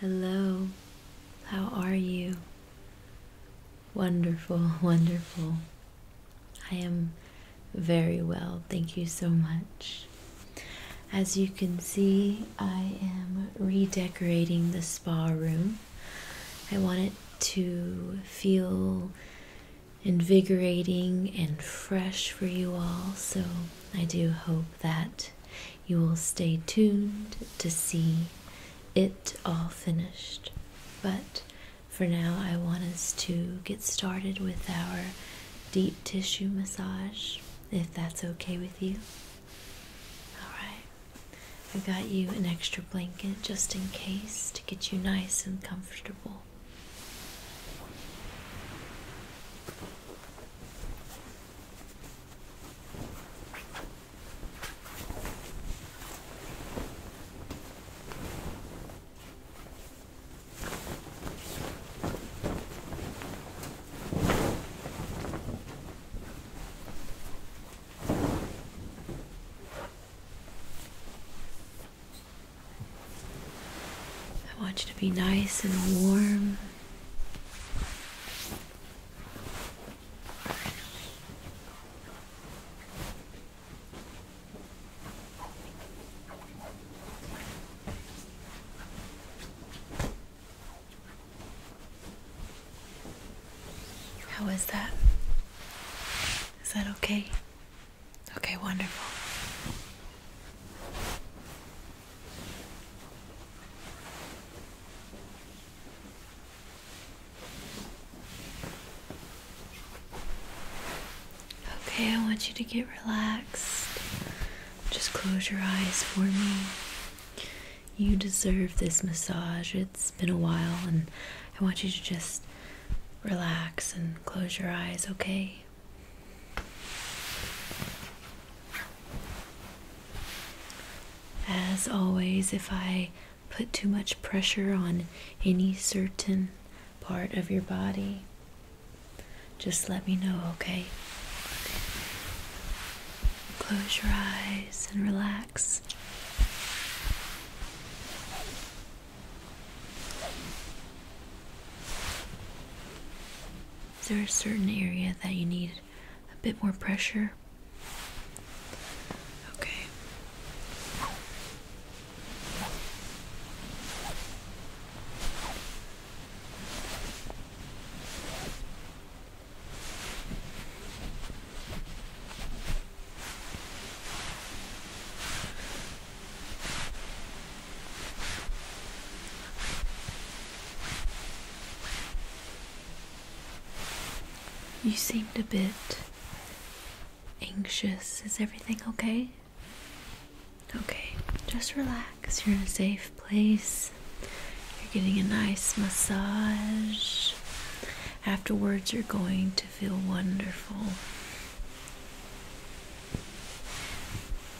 Hello, how are you? Wonderful, wonderful. I am very well, thank you so much. As you can see, I am redecorating the spa room. I want it to feel invigorating and fresh for you all, so I do hope that you will stay tuned to see it all finished. But for now, I want us to get started with our deep tissue massage, if that's okay with you. Alright, I got you an extra blanket just in case to get you nice and comfortable. I want you to be nice and warm how is that? Is that okay? Okay, wonderful. Okay, I want you to get relaxed. Just close your eyes for me. You deserve this massage. It's been a while, and I want you to just relax and close your eyes, okay? As always, if I put too much pressure on any certain part of your body, just let me know, okay? Close your eyes and relax. Is there a certain area that you need a bit more pressure? Okay. You seemed a bit anxious. Is everything okay? Okay, just relax. You're in a safe place. You're getting a nice massage. Afterwards, you're going to feel wonderful.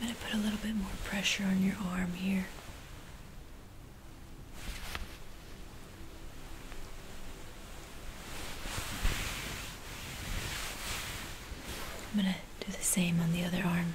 I'm going to put a little bit more pressure on your arm here. I'm going to do the same on the other arm.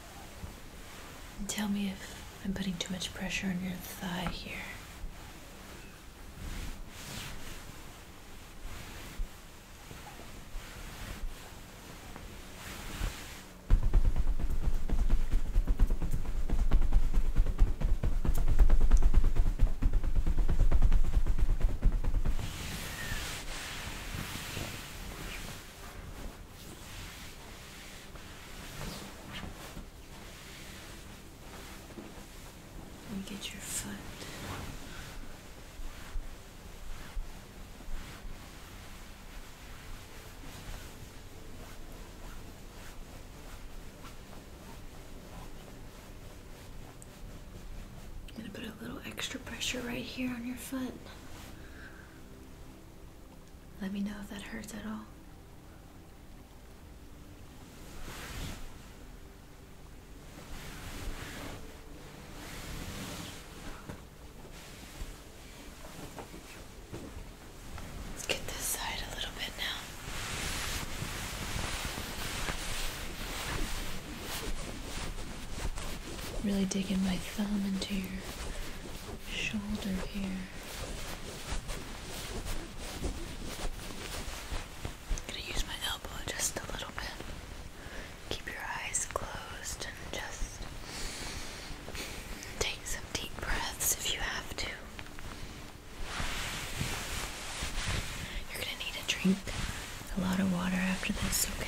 And tell me if I'm putting too much pressure on your thigh here get your foot. I'm going to put a little extra pressure right here on your foot. Let me know if that hurts at all. Let's get this side a little bit now. Really digging my thumb into your shoulder here. gonna use my elbow just a little bit. Keep your eyes closed and just take some deep breaths if you have to. You're gonna need to drink, a lot of water after this, okay?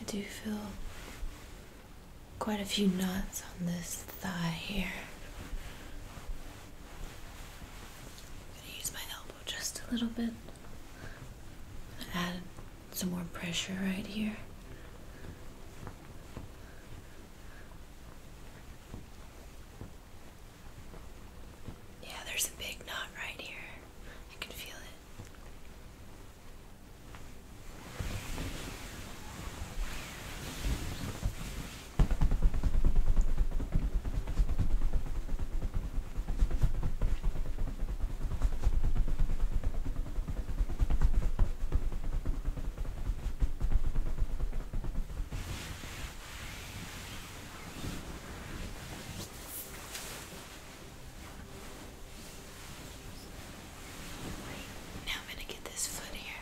I do feel quite a few knots on this thigh here. I'm gonna use my elbow just a little bit. Add some more pressure right here. Yeah, there's a big knot right here. I can feel it. Now I'm going to get this foot here.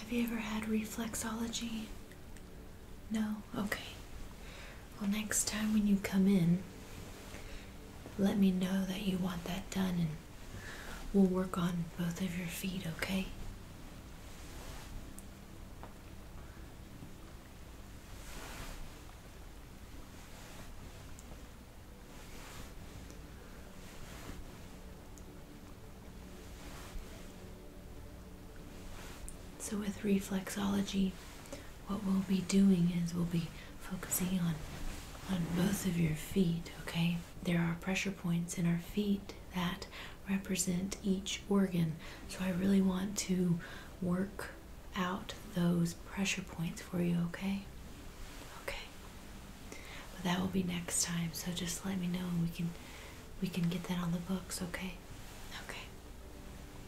Have you ever had reflexology? No? Okay. Well, next time when you come in, let me know that you want that done and we'll work on both of your feet, okay? So, with reflexology, what we'll be doing is we'll be focusing on on both of your feet, okay? There are pressure points in our feet that represent each organ. So I really want to work out those pressure points for you, okay? Okay. But that will be next time. So just let me know and we can we can get that on the books, okay? Okay.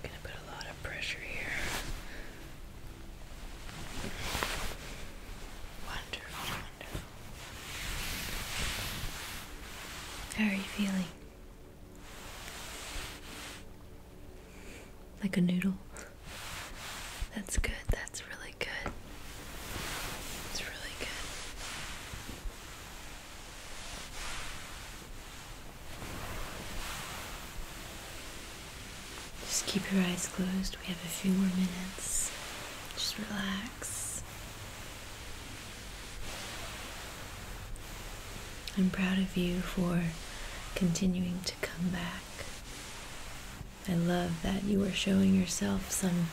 I'm gonna put a lot of pressure here how are you feeling? Like a noodle? That's good, that's really good. It's really good. Just keep your eyes closed. We have a few more minutes. Just relax. I'm proud of you for continuing to come back. I love that you are showing yourself some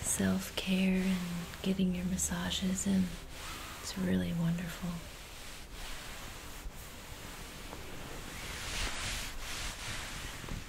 self care and getting your massages and It's really wonderful.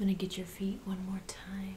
I'm going to get your feet one more time.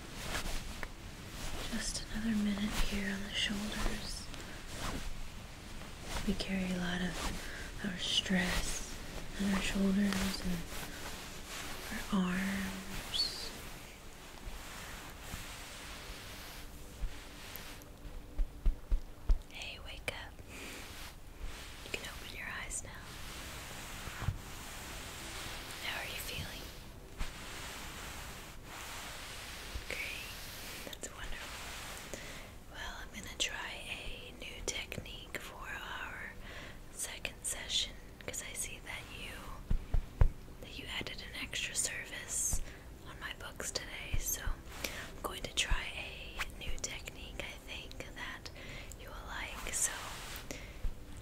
Just another minute here on the shoulders. We carry a lot of our stress on our shoulders and our arms. Hey, wake up. You can open your eyes now. How are you feeling? Great, that's wonderful. Well, I'm going to try a new technique for our second session because I see that you that you added an extra service on my books today. So, I'm going to try a new technique I think that you will like. So,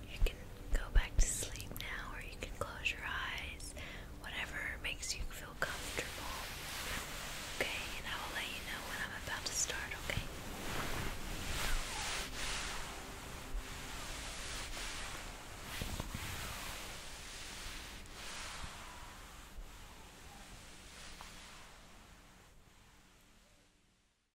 you can go back to sleep now, or you can close your eyes, whatever makes you feel comfortable. Okay, and I will let you know when I'm about to start, okay?